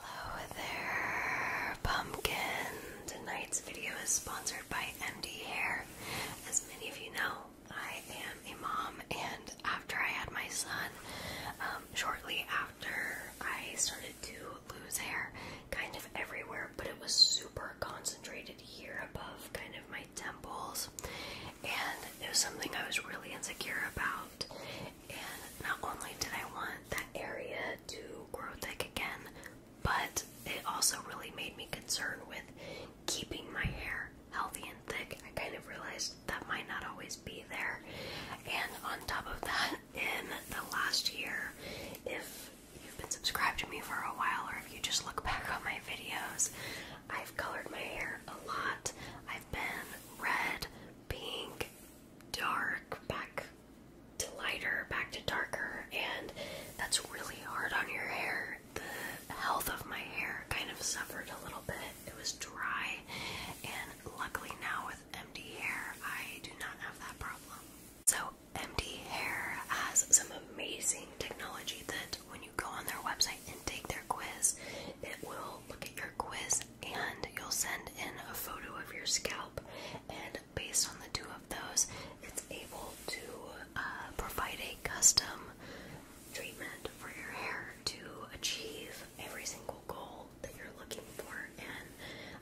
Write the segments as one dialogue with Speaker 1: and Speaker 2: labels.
Speaker 1: Hello there, pumpkin! Tonight's video is sponsored by MD Hair. As many of you know, I am a mom, and after I had my son, um, shortly after, I started to lose hair kind of everywhere, but it was super concentrated here above kind of my temples, and it was something I was really insecure about. And not only did I want that area to grow thick again, but it also really made me concerned with keeping my hair healthy and thick. I kind of realized that might not always be there. And on top of that, in the last year, if you've been subscribed to me for a while or if you just look back on my videos, I've colored my hair a lot. I've been red, pink, dark back to lighter, back to darker, and that's really hard on your hair. The health of my hair kind of suffered a little bit. It was dry, and luckily now with empty hair, I do not have that problem. So, empty hair has some amazing technology that when you go on their website and take their quiz, it will look at your quiz and you'll send in a photo of your scalp and based on the two of those it's able to uh, provide a custom treatment for your hair to achieve every single goal that you're looking for and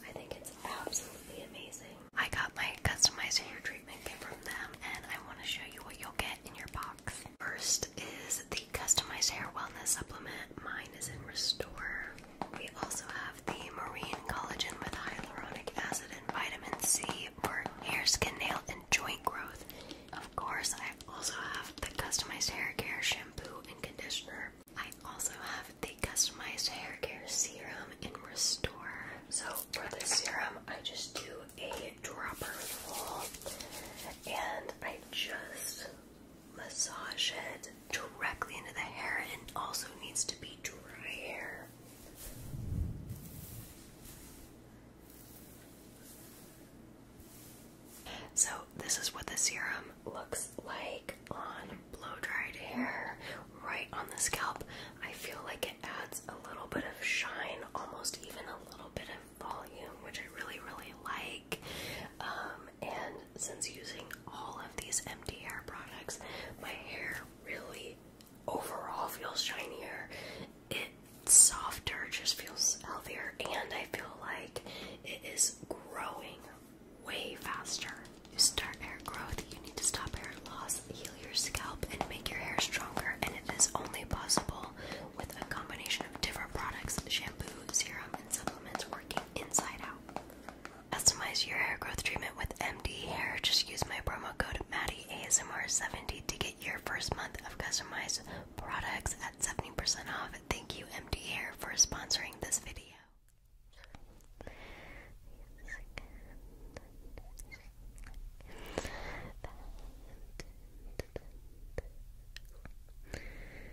Speaker 1: I think it's absolutely amazing. I got my customized hair treatment kit from them and I want to show you what you'll get in your box. First is the customized hair wellness supplement. Mine Magnificent Restore. We also have the Marine Collagen with Hyaluronic Acid and Vitamin C for hair, skin, nail, and joint growth. Of course, I also have the Customized Hair Care Shampoo and Conditioner. I also have the Customized Hair Care Serum and Restore. So, for this serum, I just do a dropper full and I just massage it directly into the hair and also needs to be dry hair. So, this is what the serum looks like on blow dried hair right on the scalp. I feel like it adds a little bit of shine, almost even a little bit of volume, which I really, really like. Um, and since using all of these empty hair products, my hair really overall feels shinier. It's softer, just feels healthier, and I feel like it is growing way faster. You start hair growth, you need to stop hair loss, heal your scalp, and make your hair stronger. And it is only possible with a combination of different products shampoo, serum, Customize your hair growth treatment with MD Hair. Just use my promo code MaddieASMR70 to get your first month of customized products at 70% off. Thank you, MD Hair, for sponsoring this video.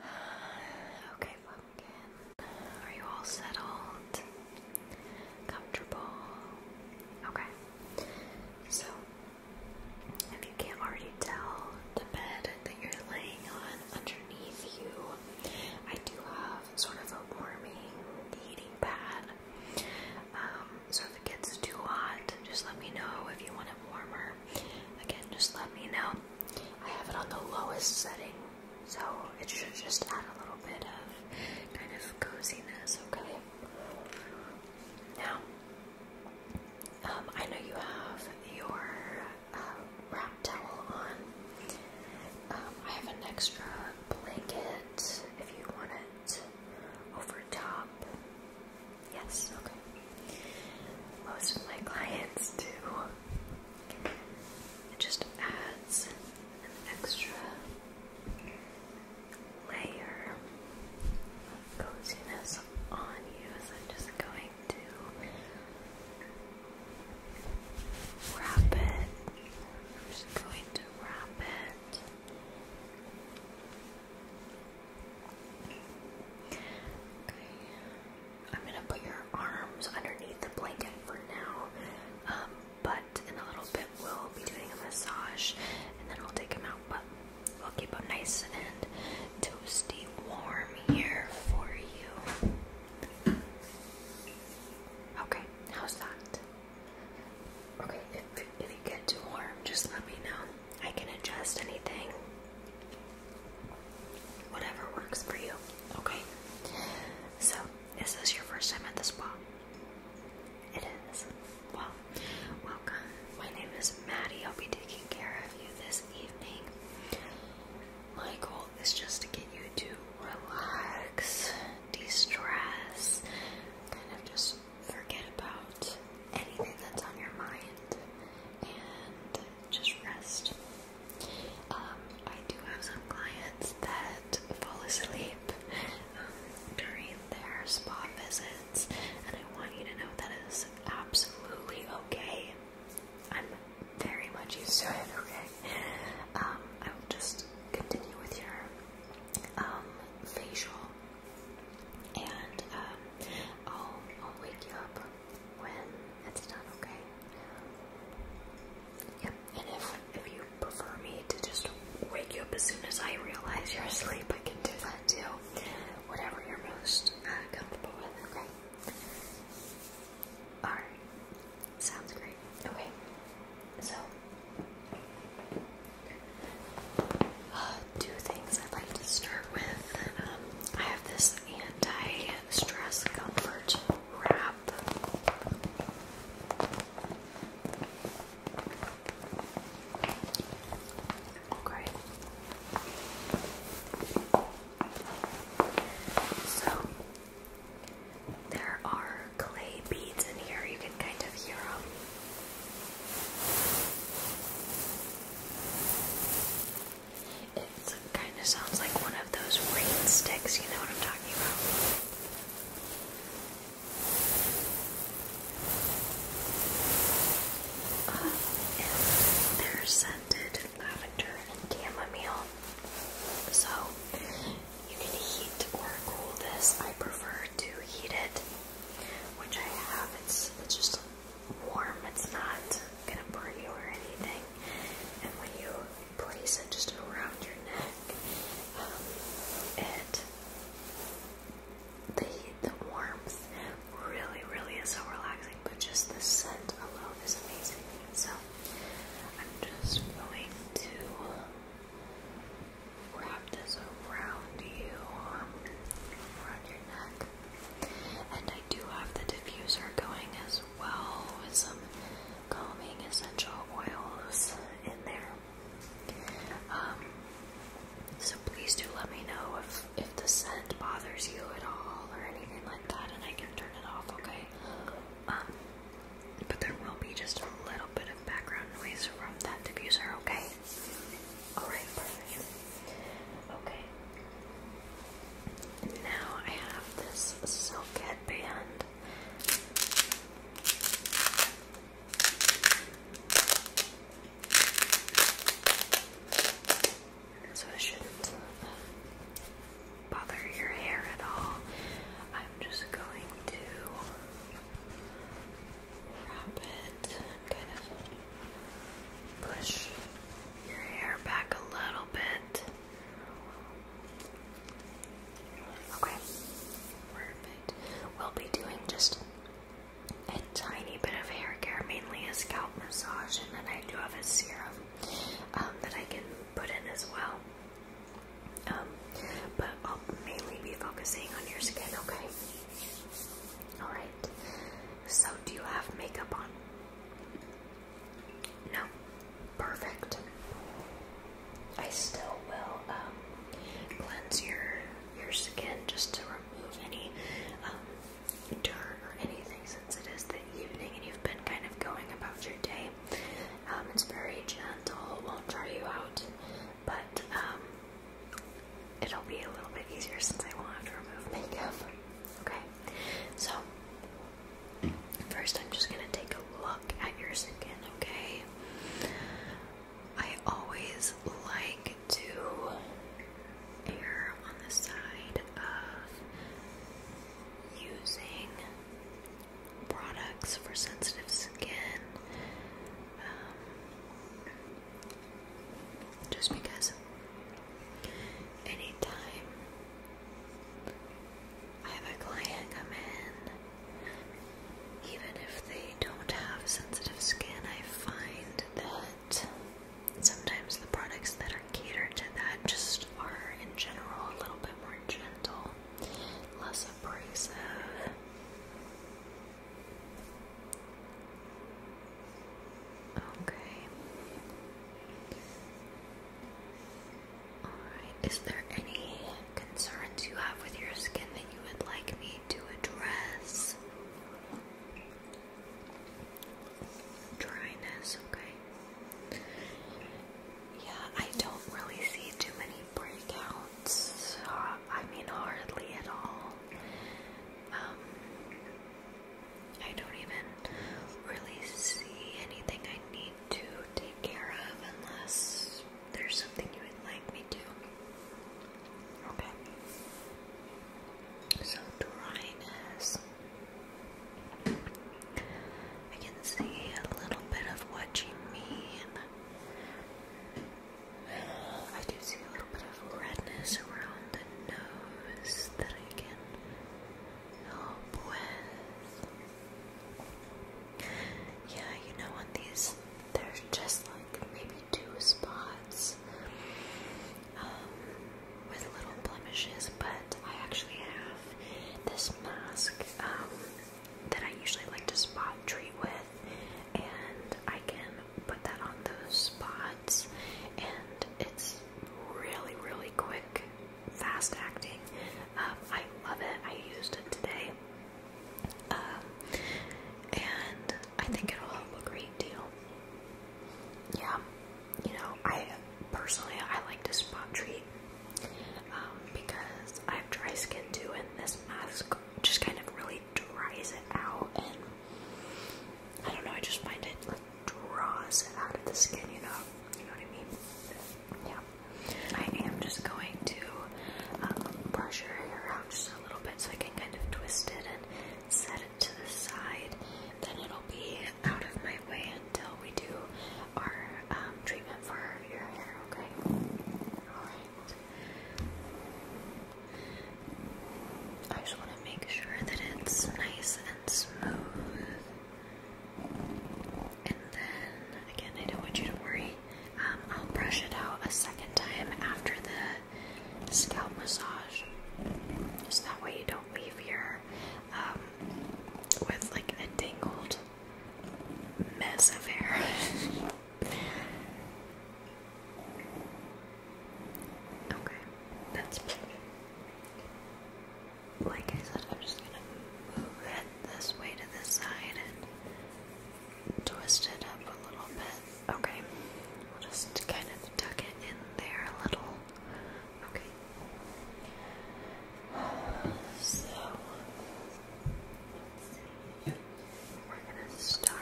Speaker 1: Okay, pumpkin. Are you all settled? Comfortable? Okay. So, if you can't already tell, the bed that you're laying on underneath you, I do have sort of a warming heating pad. Um, so if it gets too hot, just let me know if you want it warmer. Again, just let me know. I have it on the lowest setting, so it should just add a little bit of kind of coziness, okay? Now, um, I know you have your uh, wrap towel on. Um, I have an extra blanket if you want it over top. Yes, Most of my clients do. It just adds an extra layer of coziness on you. So I'm just going to wrap it. I'm just going to wrap it I'm gonna put your arms underneath the blanket for now. Um, but in a little bit we'll be doing a massage and then we'll take them out. But we'll keep them nice and toasty warm here for you. Okay, how's that? Okay, if, if you get too warm, just let me know. I can adjust anything. Whatever works for you, okay? So, is this your first time at the spa? It is. Well, welcome. My name is Maddie. I'll be taking care of you this evening. My goal is just to get you to relax, de stress, kind of just forget about anything that's on your mind, and just rest. Um, I do have some clients that fall asleep um, during their spa visits, and I want you to know that is absolutely okay. I'm very much used to it, okay? Um, I will just continue with your facial, and I'll wake you up when it's done, okay? Yep, and if, if you prefer me to just wake you up as soon as I realize you're asleep, I can do that too. Whatever you're most uh, comfortable with, okay? Alright, sounds great. Okay, so uh, things i like to start with. Um, I have this anti-stress comfort wrap. Okay. So there are clay beads in here. You can kind of hear them. It kind of sounds like one of those rain sticks, you know what I'm talking about? they're scented lavender and chamomile. So you can heat or cool this. I prefer to heat it, which I have. it's just warm. It's not gonna burn you or anything. And when you place it just around your neck, um, it the the warmth really, really is so relaxing. But just the scent alone is amazing. So I'm just going to wrap this around you, um, around your neck. And I do have the diffuser going as well with some calming essential oils in there. Um, so please do let me know if, if the scent bothers you at all or anything like that and I can turn it off, okay? Um, but there will be just a little bit of background noise from that diffuser, okay? Alright, perfect. Okay. Now I have this silk headband. So it shouldn't uh, bother your hair at all. I'm just going to wrap it kind of push your hair back a little bit. Okay, perfect. We'll be doing just a tiny bit of hair care, mainly a scalp massage, and then I do have a serum um, that I can put in as well. Um, but I'll mainly be focusing on your skin, okay? Alright, so, do you have makeup on? No. Perfect. I still will um, cleanse your your skin just to remove any um, dirt or anything since it is the evening and you've been kind of going about your day. Um, it's very gentle, won't dry you out, but it'll be a little bit easier since I won't have to remove makeup. Okay, so first I'm just gonna take a look at your skin, okay? I always like to err on the side of using products for sensitive skin. Um, just because anytime I have a client come in, even if they don't have sensitive skin, I find that sometimes the products that are catered to that just are, in general, a little bit more gentle, less abrasive. Okay. Alright, is there any concerns you have with your skin that you would like me to address? Dryness, okay. Yeah, I don't really see too many breakouts. Uh, I mean, hardly at all um, I don't even really see anything I need to take care of unless there's something you would like me to. Okay. So dryness. I can see a little bit of what you mean. I do see a little bit of redness around the nose that I can help with. Yeah, you know, on these, there's just like maybe two spots um, with little blemishes, but I actually have this mask um, that I usually like to spot treat with, and I can put that on those spots, and it's really, really quick, fast acting. Um, I love it. I used it today, um, and I think it'll help a great deal. Yeah, you know, I personally I like to spot treat um, because I have dry skin too, and this mask just kind of really dries it out and I don't know, I just find it like draws it out of the skin, you know? You know what I mean? Yeah. I am just going to um, brush your hair out just a little bit so I can kind of twist it and set it to the side. Then it'll be out of my way until we do our um, treatment for your hair, okay? Alright. I just want to make sure that it's nice and smooth. And then, again, I don't want you to worry. Um, I'll brush it out a second time after the scalp massage. So that way you don't leave here um, with like a tangled mess of hair. Okay, that's pretty Like I said, I'm just gonna move it this way to this side and twist it up a little bit. Okay, we'll just kind of tuck it in there a little. Okay. So, We're gonna start.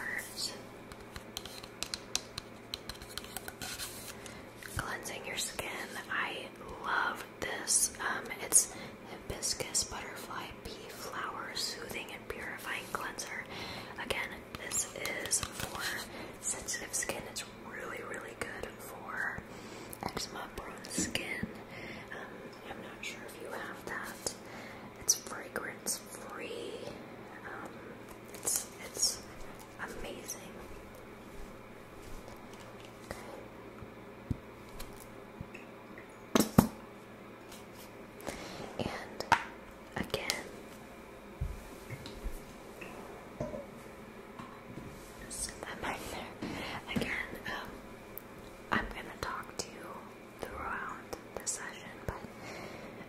Speaker 1: Cleansing your skin. I love this. Um, it's hibiscus butterfly pea flower soothing and purifying cleanser. Again, this is for sensitive skin. It's really, really good for eczema prone skin. Um, I'm not sure if you have that. It's fragrance it's free. Um, it's it's amazing. Okay. And again, set that back there. Again, um, I'm gonna talk to you throughout the session, but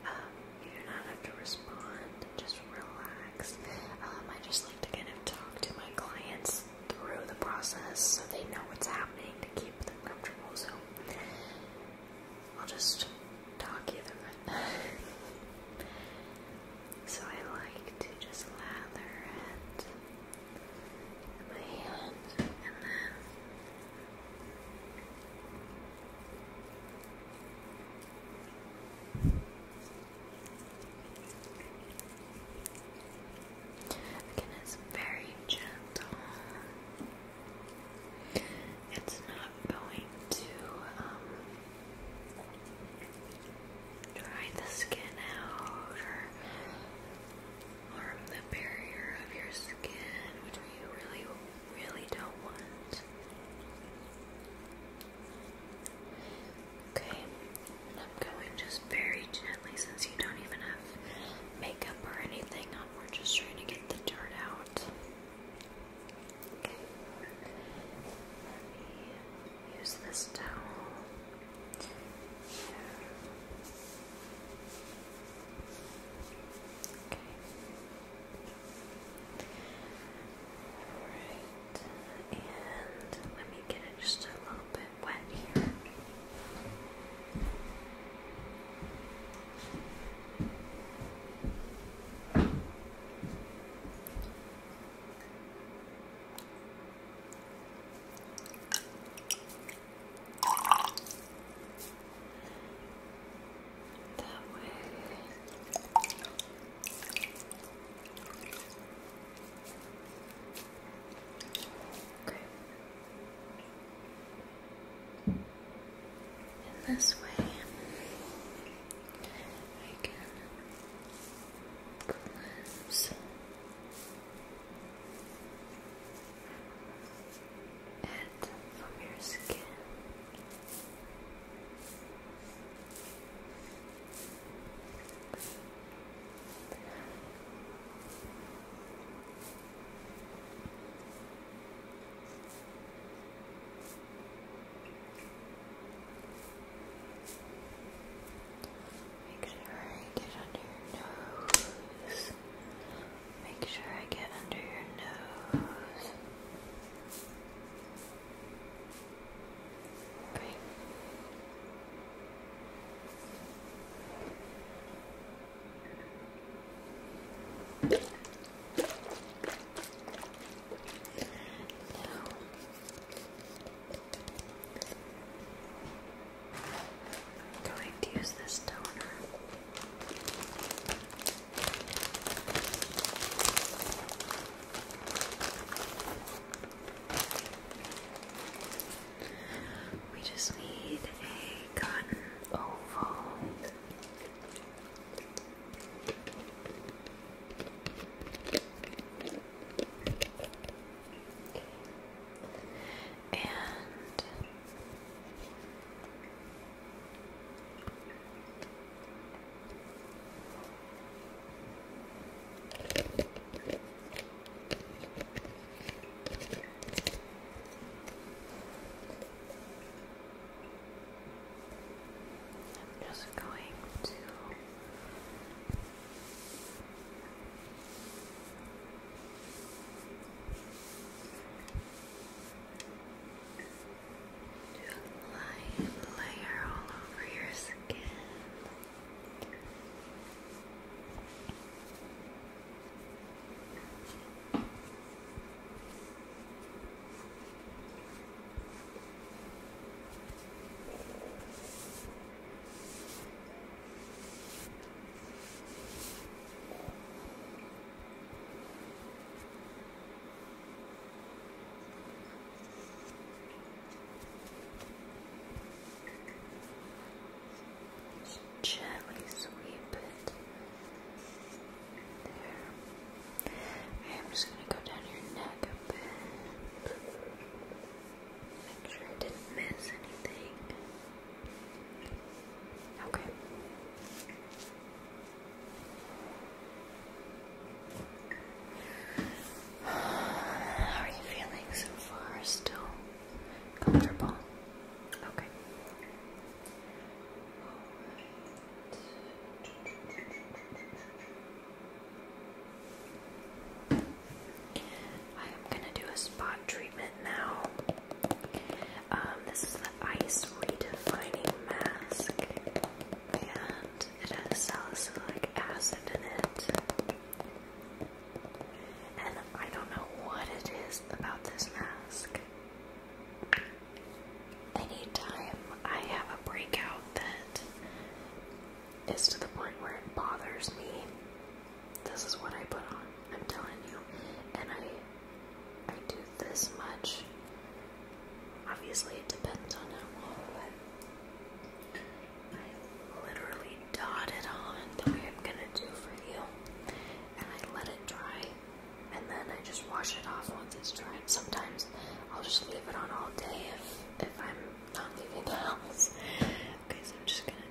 Speaker 1: um, you do not have to respond. Just relax. Um, I just like to kind of talk to my clients through the process so they know what's happening to keep them comfortable. So I'll just talk you through so I like to just lather it in my hand and then Again, it's very gentle. It's not going to um, dry the skin out Arm the barrier of your skin, which we really, really don't want. Okay, I'm going just very gently since you don't even have makeup or anything on. We're just trying to get the dirt out. Okay. Let me use this towel. Okay. Alright. And let me get it just a little bit wet here. That way. Okay. And this way, I can cleanse it from your skin. Make sure you get under your nose. Make sure I get under your nose. Great. Now, I'm going to use this toner. We just need a cotton oval. And I'm just going to do a light layer all over your skin. Just gently sweep it. There. I'm just going to go down your neck a bit. Make sure I didn't miss anything. Okay. How are you feeling so far? Still comfortable? Okay. I am gonna do a spot treatment now. Um, this is the Ice Redefining Mask, and it has salicylic acid in it. And I don't know what it is about this mask. Anytime I have a breakout that is to the point where it bothers me, this is what I put on. I'm telling you. And I I do this much. Obviously it depends on how long, but I literally dot it on the way I'm gonna do for you. And I let it dry and then I just wash it off once it's dry. Sometimes I'll just leave it on all day if if I'm not leaving the house. Okay, so I'm just gonna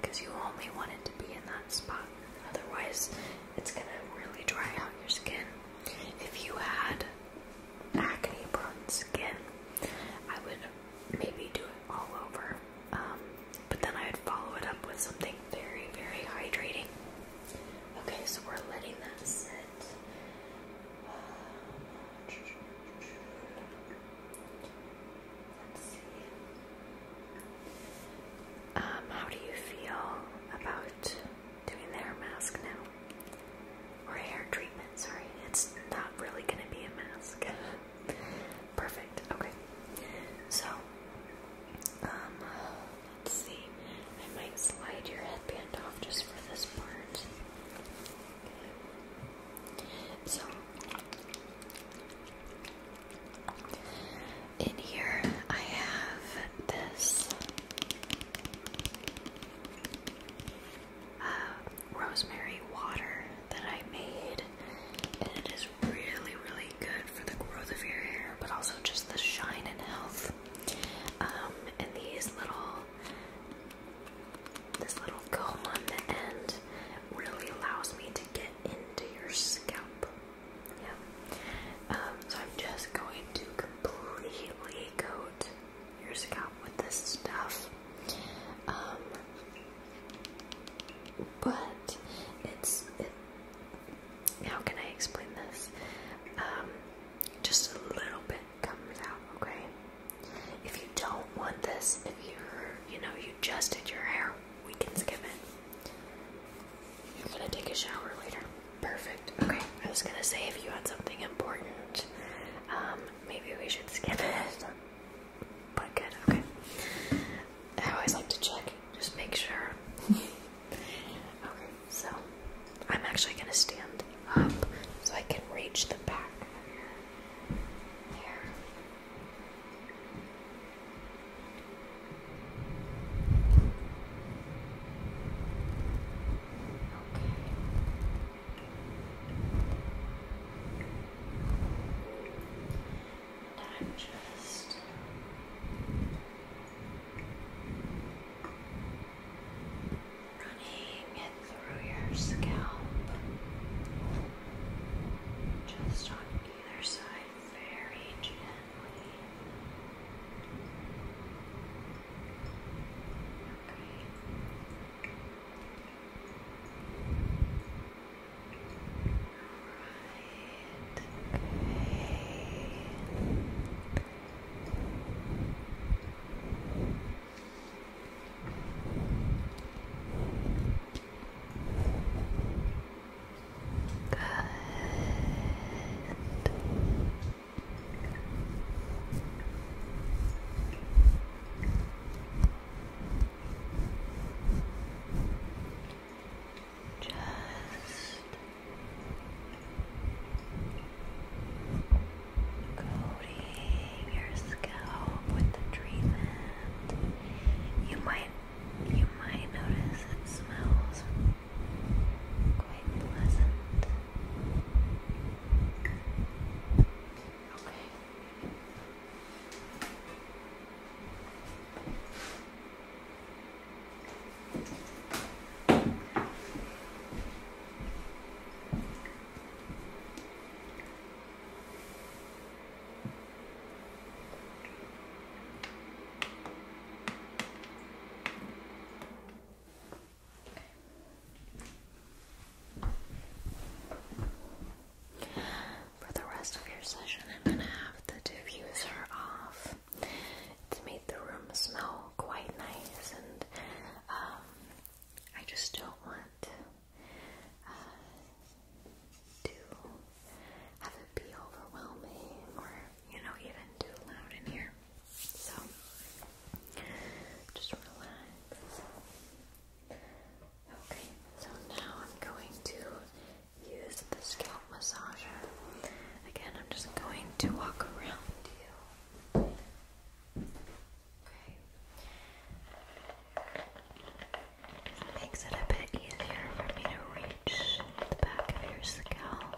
Speaker 1: because you only want it to be in that spot. Otherwise, it's gonna really dry out your skin. If you had acne prone skin, I would maybe do it all over, um, but then I would follow it up with something very, very hydrating. Okay, so we're letting that sit. Let's see. Um, how do you feel about doing their mask now? Or hair treatment, sorry. It's not really going to be a mask. Perfect, okay. So, um, let's see. I might slide your headband off just for this part. Okay. So, in here, I have this uh, rosemary water that I made, and it is really, really good for the growth of your hair, but also just the shine and health. Um, and these little, this little comb on the end really allows me to get into your scalp. Yeah. Um, so I'm just going to completely coat your scalp with this stuff. Um, but it's how can I explain this? Um, just a little bit comes out, okay? If you don't want this, if you're, you know, you just did your hair, we can skip it. You're gonna take a shower later. Perfect. Okay. I was gonna say if you had something important, um, maybe we should skip it. But good. Okay. I always like to check. Just make sure. okay. So I'm actually gonna stand up so I can reach the back. There. And I'm just running it through your scalp, just on either side very gently. Okay. Right. Okay. Good. Just coating your scalp with the treatment. You might you might notice it smells quite pleasant. For the rest of your session, I'm gonna have the diffuser off. It's made the room smell quite nice, and um, I just don't want uh, too have it be overwhelming or you know even too loud in here. So just relax. Okay, so now I'm going to use the scalp massager. Again, I'm just going to walk around you. Okay. It makes it a bit easier for me to reach the back of your scalp.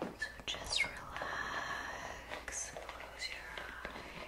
Speaker 1: So just relax, close your eyes.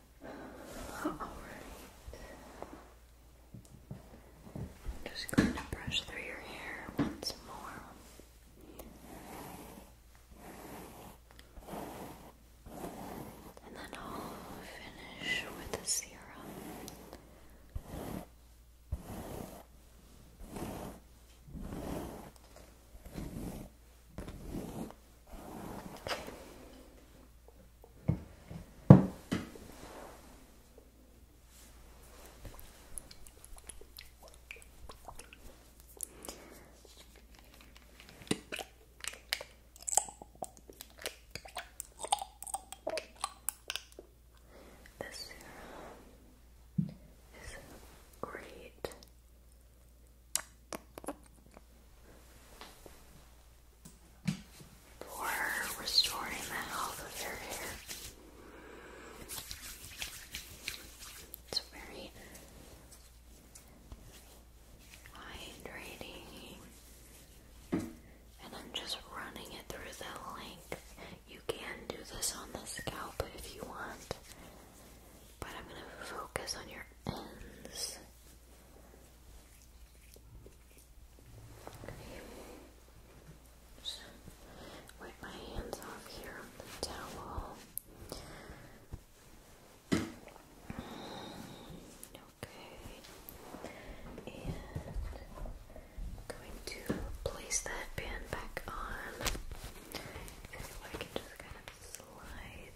Speaker 1: Alright. I'm just going to brush through your hair once more. And then I'll finish with the serum. This serum is great for restoring the health of your hair. It's very hydrating, and I'm just running it through the length. You can do this on the scalp if you want, but I'm going to focus on your ends wipe my hands off here on the towel. Okay. And I'm going to place that band back on. So I can just kind of slide Okay.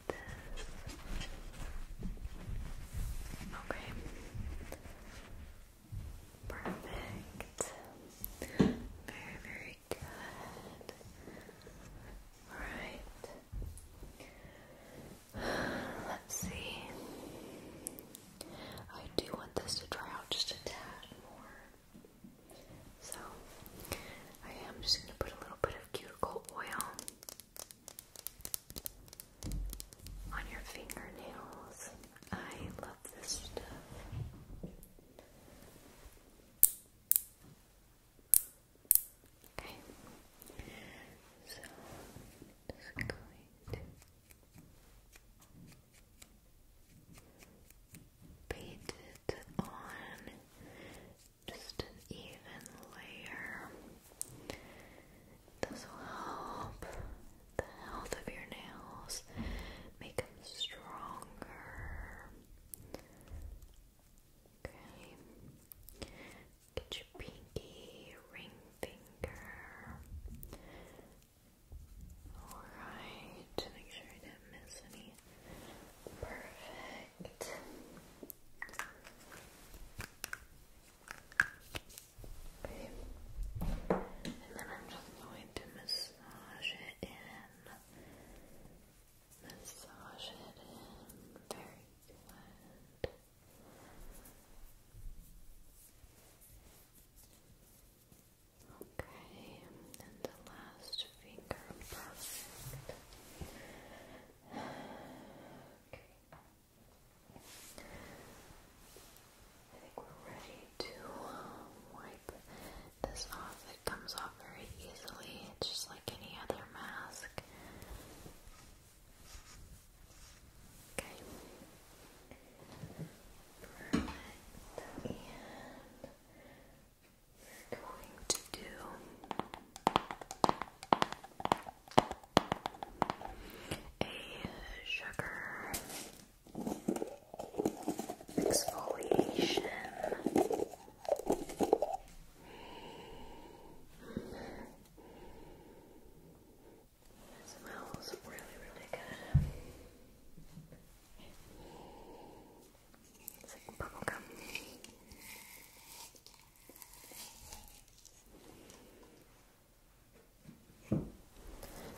Speaker 1: Perfect. Very, very good. Alright. Let's see. I do want this to dry out just a tad more. So, I am just going to put a little bit of cuticle oil on your fingernails. I love this stuff. Okay, so just going to paint it on just an even layer. This will help the health of your nails, make them stronger. Okay, get your pinky, ring finger. Alright, make sure I didn't miss any. Perfect. Okay. And then I'm just going to massage it in. Massage it in. Very good. Okay, and the last finger, perfect. Okay. I think we're ready to um, wipe this off. It comes off very easily. just like any other mask. Okay. Perfect we're going to do a sugar exfoliation. It smells really, really good.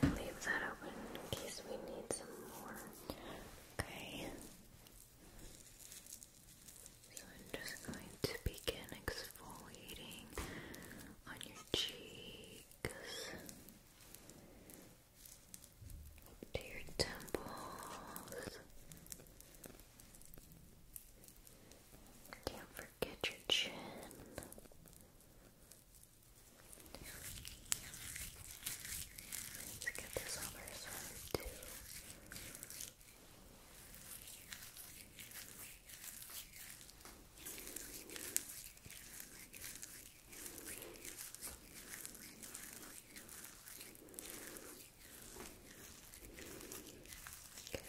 Speaker 1: Leave that open in case we need some more. Okay. So I'm just going to begin exfoliating on your cheeks, to your temples, can't forget your chin. Let's get this other side too. Okay. Okay.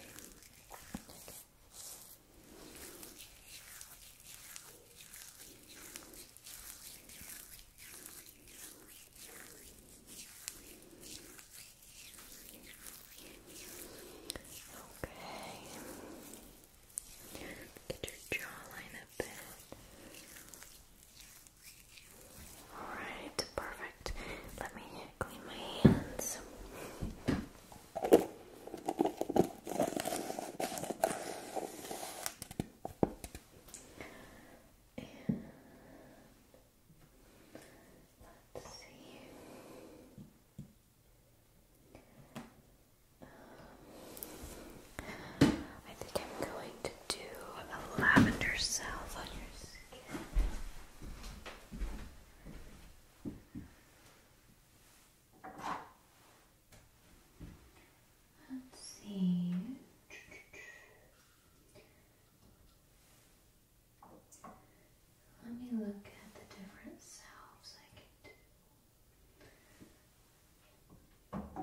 Speaker 1: Get your jawline a bit. Alright, perfect. Let me clean my hands. let's see. Um, I think I'm going to do a lavender salve on your skin. Let's see. Let me look at the different salves I can do.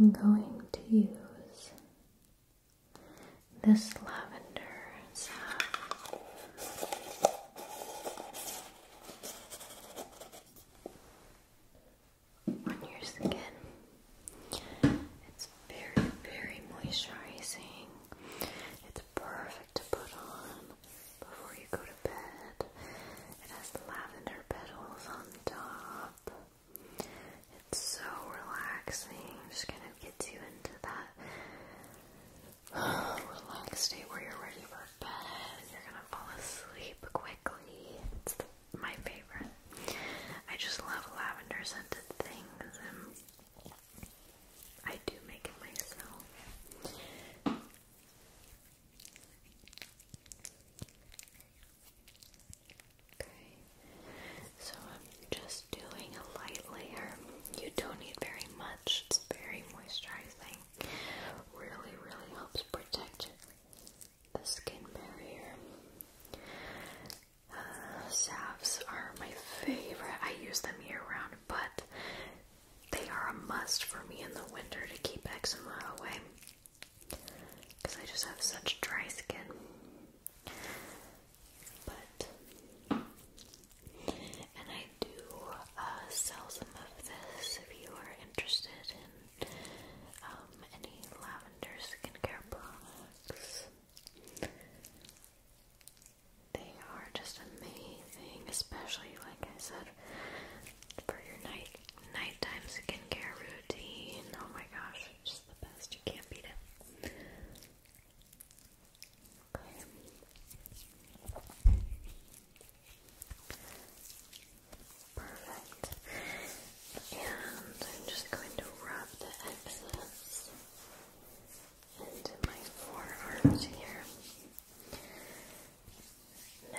Speaker 1: I'm going to use this lavender salve. On your skin, it's very, very moisturizing. It's perfect to put on before you go to bed. It has lavender petals on top. It's so relaxing. It just gonna get you into that oh, relaxed state where you're ready for bed and you're gonna fall asleep quickly my favorite. I just love lavender scented things, and I do make it myself. Okay, so I'm just doing a light layer. You don't need very much, it's very moisturizing. Really, really helps protect the skin barrier salves are my favorite. I use them year round, but they are a must for me in the winter to keep eczema away because I just have such dry skin. But, and I do uh, sell some of this if you are interested in um, any lavender skincare products. They are just amazing, especially like I said for your night nighttime skincare routine. Oh my gosh, it's just the best. You can't beat it. Okay. Perfect. And I'm just going to rub the excess into my forearms here. Now,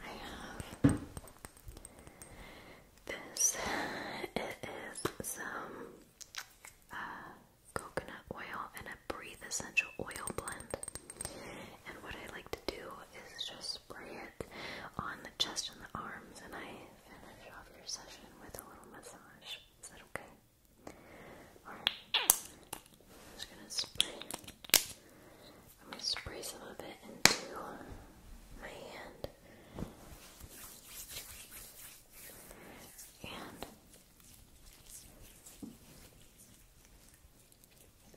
Speaker 1: I have this. It is some uh, coconut oil and a breathe essential oil blend. And what I like to do is just spray it on the chest and the arms, and I finish off your session with a little massage. Is that okay? Alright. I'm just gonna spray. I'm going spray some of it into my hand.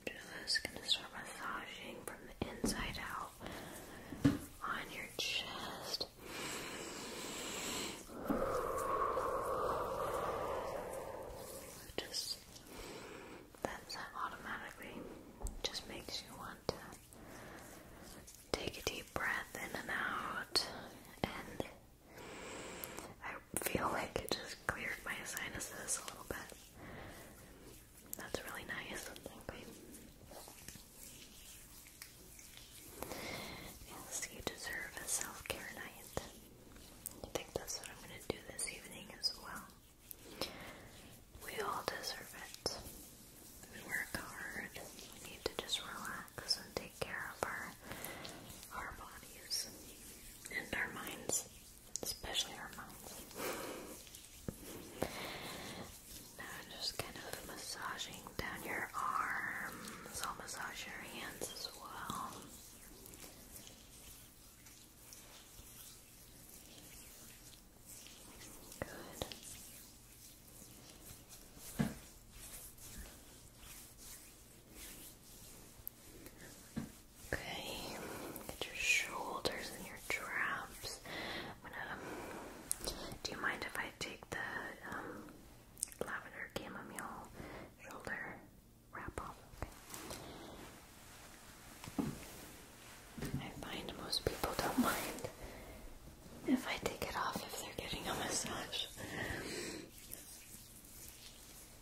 Speaker 1: I'm just gonna start massaging from the inside out on your chest. Just that automatically just makes you want to take a deep breath in and out and I feel like it just cleared my sinuses a little bit. That's really nice. you deserve a self-care night. I think that's what I'm going to do this evening as well. We all deserve it. We work hard. We need to just relax and take care of our our bodies and our minds especially our minds. now just kind of massaging down your arms. i massage your hands as well. Good. Okay, get your shoulders and your traps. Do you mind if I take the um, lavender chamomile shoulder wrap off? I find most people don't mind if I take it off if they're getting a massage.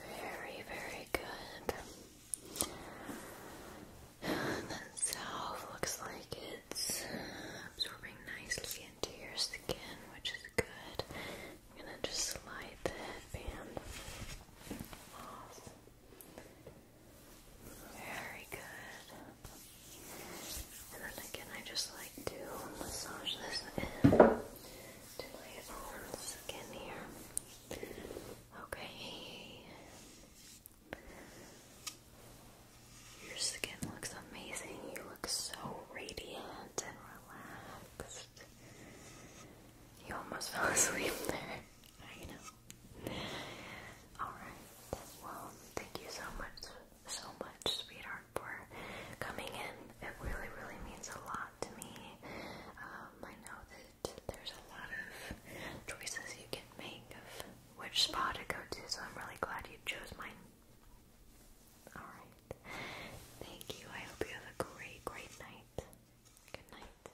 Speaker 1: Very, very good. And salve looks like it's absorbing nicely into your skin, which is good. I'm gonna just slide the headband off. Very good. And then again, I just like to massage this in to my own skin here. Okay. Your skin looks amazing. You look so radiant and relaxed. You almost fell asleep there. I know. Alright, well, thank you so much, so much, sweetheart, for coming in. It really, really means a lot to me. Um, I know that there's a lot of choices you can make of which spa to go to, so I'm really glad you chose mine. Alright. Thank you. I hope you have a great, great night. Good night.